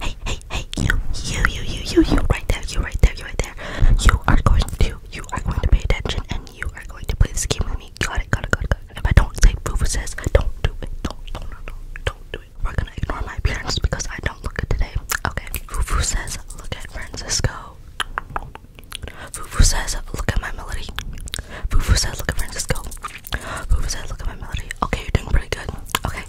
Hey, hey, hey, you, you, you, you, you, you, right there, you, right there, you, right there. You are going to, you are going to pay attention, and you are going to play this game with me. Got it, got it, got it, got it. If I don't say Fufu says, don't do it, don't, don't, don't, don't, don't do it. We're gonna ignore my appearance because I don't look good today. Okay, Fufu says, look at Francisco. Fufu says, look at my melody. Fufu says, look at Francisco. Fufu says, look at my melody. Okay, you're doing pretty good. Okay,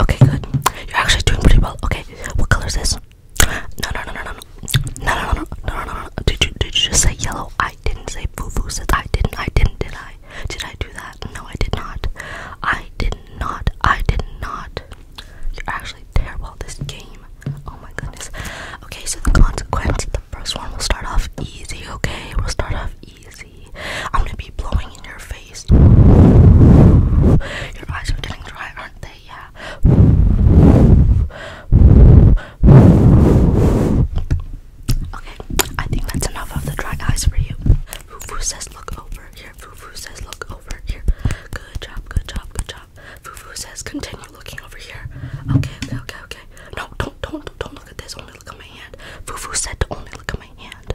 Okay, good. You're actually doing pretty well. Okay, what color is this? No, no, no, no, no, no, no, no, no, no, no, no. Did you did you just say yellow? I didn't say foo-foo. Said I didn't. I didn't. Did I? Did I do that? No, I did not. I did not. I did not. You're actually terrible at this game. Oh my goodness. Okay, so the consequence. The first one will start off easy. Okay, we'll start off easy. I'm gonna be blowing in your face. Your eyes are getting dry, aren't they? Yeah. Okay, I think that's enough of the dry eyes for you. Fufu says look over here. Fufu says look over here. Good job, good job, good job. Fufu says continue looking over here. Okay, okay, okay, okay. No, don't, don't, don't look at this. Only look at my hand. Fufu said to only look at my hand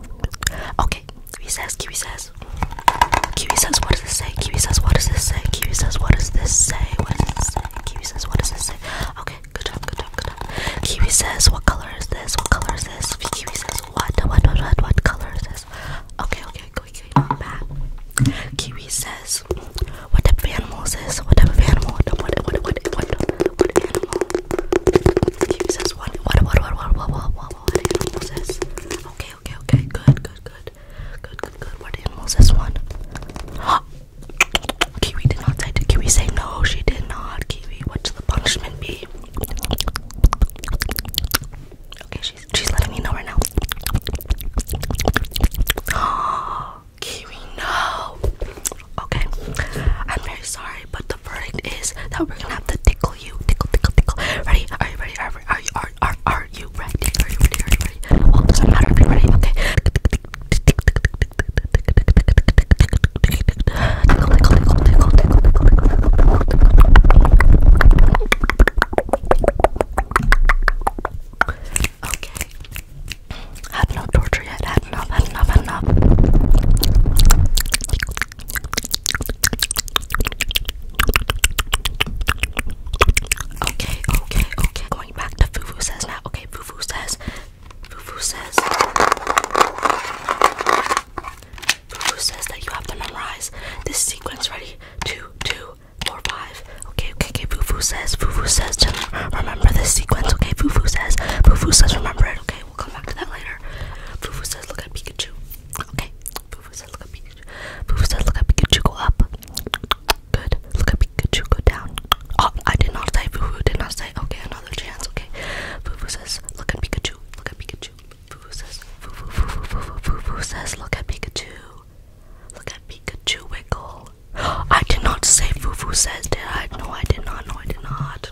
Okay, Kiwi says, Kiwi says. Kiwi says, what does this say? Kiwi says, what does this say? Kiwi says, what does this say? What does this say? Kiwi says, what does this say? Okay, good job, good job, good job. Kiwi says, what color is this? What color is this? Kiwi says, what, what, what, what, what color is this? Okay, okay, go, go, back. Kiwi says, what type of animal is this? What type of animal? What, what, what, what, what, what, what animal? Kiwi says, what, what, what, what, what, what, what, animal is this? Okay, okay, okay, good, good, good. Good, good, good. What animal is this one? Kiwi did not say, Kiwi say no? She did not. Kiwi, what should the punishment be? Okay, she's, she's letting me know right now. Kiwi, no okay? I'm very sorry, but the verdict is that we're gonna have to tickle you. Tickle, tickle, tickle. Ready? Are you ready? Are, you, are, are, are you ready? Are you ready? Are you ready? Well, it doesn't matter if you're ready, okay? Tickle, tickle, tickle, tickle, tickle, tickle, tickle, tickle. Okay. Had enough torture yet. Had enough, had enough, had enough. Tickle, Okay, okay, okay. Going back to Fufu says now. Okay, Fufu says. Fufu says. Fufu says that you have to memorize this sequence. Ready? Two, two, four, five. Okay, okay, okay. Fufu says. Fufu says to remember this sequence. Okay, Fufu says. Fufu says remember it. Okay. Okay, we'll come back to that later. Fufu says, look at Pikachu. Okay. Fufu says, look at Pikachu. Fufu says, look at Pikachu, go up. Good. Look at Pikachu, go down. Oh, I did not say Fufu, did not say. Okay, another chance. Okay. Fufu says, look at Pikachu. Look at Pikachu. Fufu says, Fufu, Fufu, Fufu, Fufu says, look at Pikachu. Look at Pikachu wiggle. I did not say Fufu says, did I? No, I did not. No, I did not.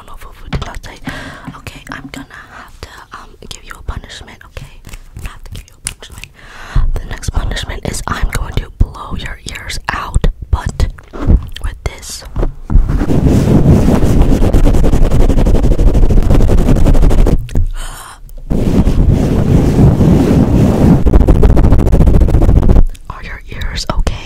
Okay, I'm gonna have to um give you a punishment. Okay, I have to give you a punishment. The next punishment is I'm going to blow your ears out, but with this. Are your ears okay?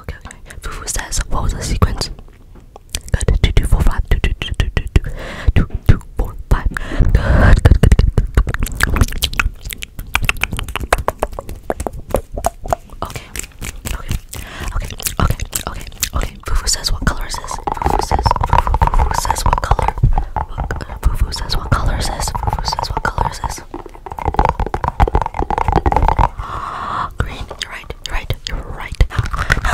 okay, okay. Fufu says, what was the sequence? Good, two, two, four, five, two, two, two, two, two, two, two, two, four, five. Good, good, good, good. Okay, okay, okay, okay, okay, okay. Fufu says, what color is this? Fufu says, Fufu, Fufu says, what color? Fufu says, what color is this? Fufu says, what color is this? this. Green, you're right, you're right, you're right. No,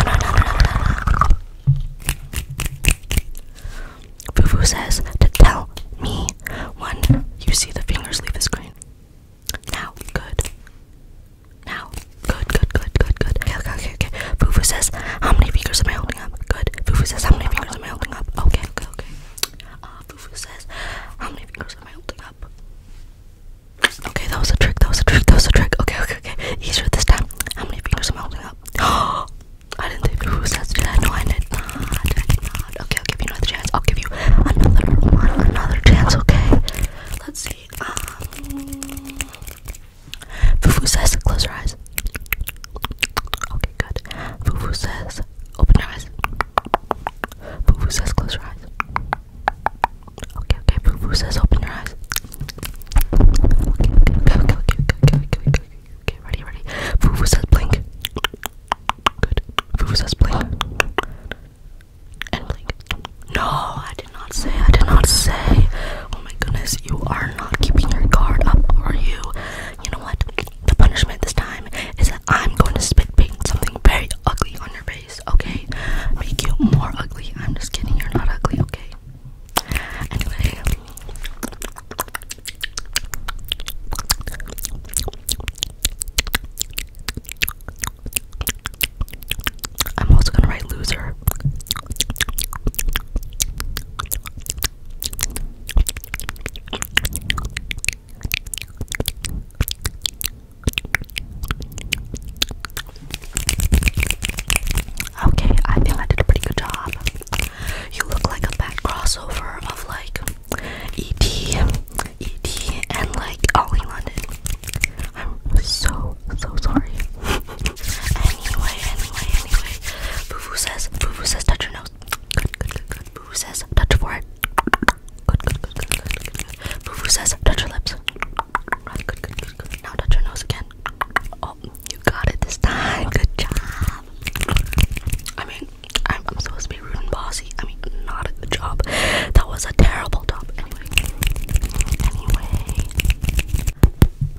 no, no, no, no, no. Fufu says to tell me when you see the fingers leave the screen. Now, good. Now, good, good, good, good, good. Okay, okay, okay, okay. Fufu says, how many fingers am I holding up? Good. Fufu says, how many fingers am I holding up? Okay, okay, okay. Uh, Fufu says, how many fingers? Okay, that was a trick, that was a trick, that was a trick. Okay, okay, okay. Easier this time. How many fingers am I holding up? Oh, I didn't think Who says? had to do that. No, I did not. I did not. Okay, I'll give you another chance. I'll give you another one, another chance, okay? Let's see. Um, Fufu says, close your eyes. Okay, good. Fufu says, open your eyes. Boo Boo says close your eyes. Okay, okay, Boo Boo says open your eyes. Okay, okay, okay, okay, okay, okay, okay, okay, ready, ready. Boo Boo says blink. Good. Boo Boo says blink. And blink. No, I did not say, I did not say. Oh my goodness, you are not keeping your guard up, are you? You know what? The punishment this time is I'm going to spit paint something very ugly on your face, okay? Make you more ugly. I'm just kidding, you're not ugly, okay? Anyway. I'm also gonna write loser. Okay, I feel I did a pretty good job. You look like a bad crossover of like ET, ET, and like Ollie oh, London. I'm so, so sorry. anyway, anyway, anyway. Boo says, Boo says, touch your nose. Good, good, good, good. Boo says touch forehead. Good, good, good, good, good, good, says touch your lips. Good, good, good, good, Now touch your nose again. Oh, you got it this time. Good job. I mean, I'm, supposed to be rude and bossy. I mean, not a good job. That was a terrible job. Anyway, anyway,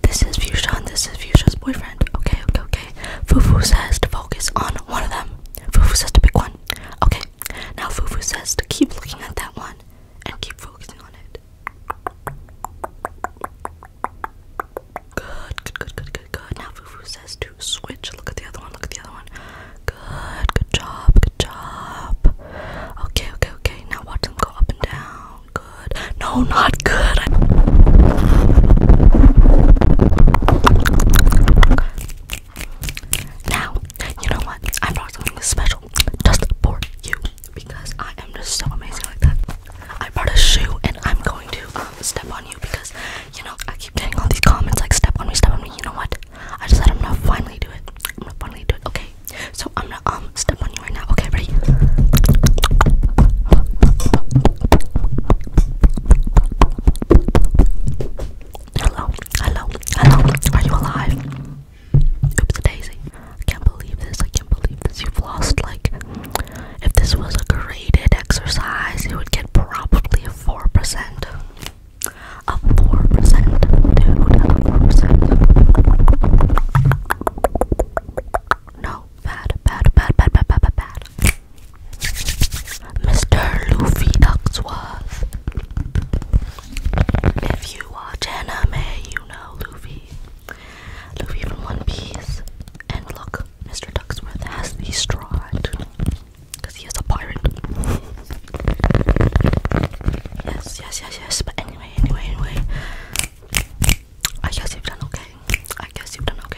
this is Fuchsia and this is Fuchsia's boyfriend. Okay, okay, okay. Fufu says to focus on one of them. Fufu says to pick one. Okay, it. Now Fufu says to keep looking at that one and keep focusing on it. Good, good, good, good, good, good. Now Fufu says to switch. Look at the other one, look at the other one. Good, good job, good job. Okay, okay, okay. Now watch them go up and down. Good. No, not good. Now, you know what? I brought something special just for you because I am just so amazing like that. I brought a shoe and I'm going to um, step on you because, you know, I keep getting all these comments like step on me, step on me. You know what? I just let i know. finally do it. I'm gonna finally do it. Okay. So I'm gonna um step on you right now. Okay, ready? Hello, hello, hello. Are you alive? Oops, Daisy. I can't believe this. I can't believe this. You've lost like. If this was a graded exercise, you would get probably a four percent. A four percent, dude. A four percent. No, bad, bad, bad, bad, bad, bad, bad. Mr. Luffy Ducksworth. If you watch anime, you know Luffy. Luffy from One Piece. And look, Mr. Ducksworth has the straw because he is a pirate. Yes, yes, yes, yes. But anyway, anyway, anyway. I guess you've done okay. I guess you've done okay.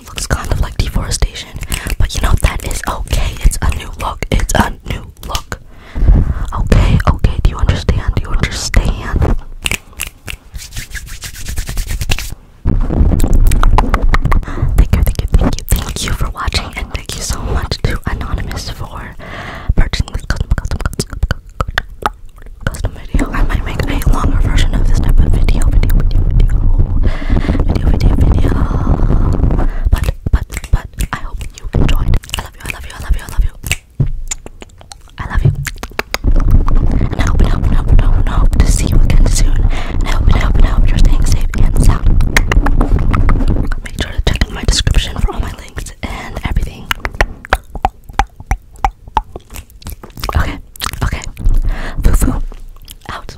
it looks kind of like deforestation, but you know that is okay. It's a new look. It's a new look. Okay, okay. Do you understand? Do you understand? Thank you, thank you, thank you, thank you for watching, and thank you so much to Anonymous for purchasing this custom, custom, custom, custom video. I might make a longer version of this type of video, video, video, video video, video, video. But, but, but, I hope you enjoyed. I love you, I love you, I love you, I love you. I love you. And I hope, and I hope, and I hope, and I hope, and I hope to see you again soon. And I hope, and I hope, and I hope you're staying safe and sound. Make sure to check my description for all my links and everything. Okay, okay. Foo foo. Out.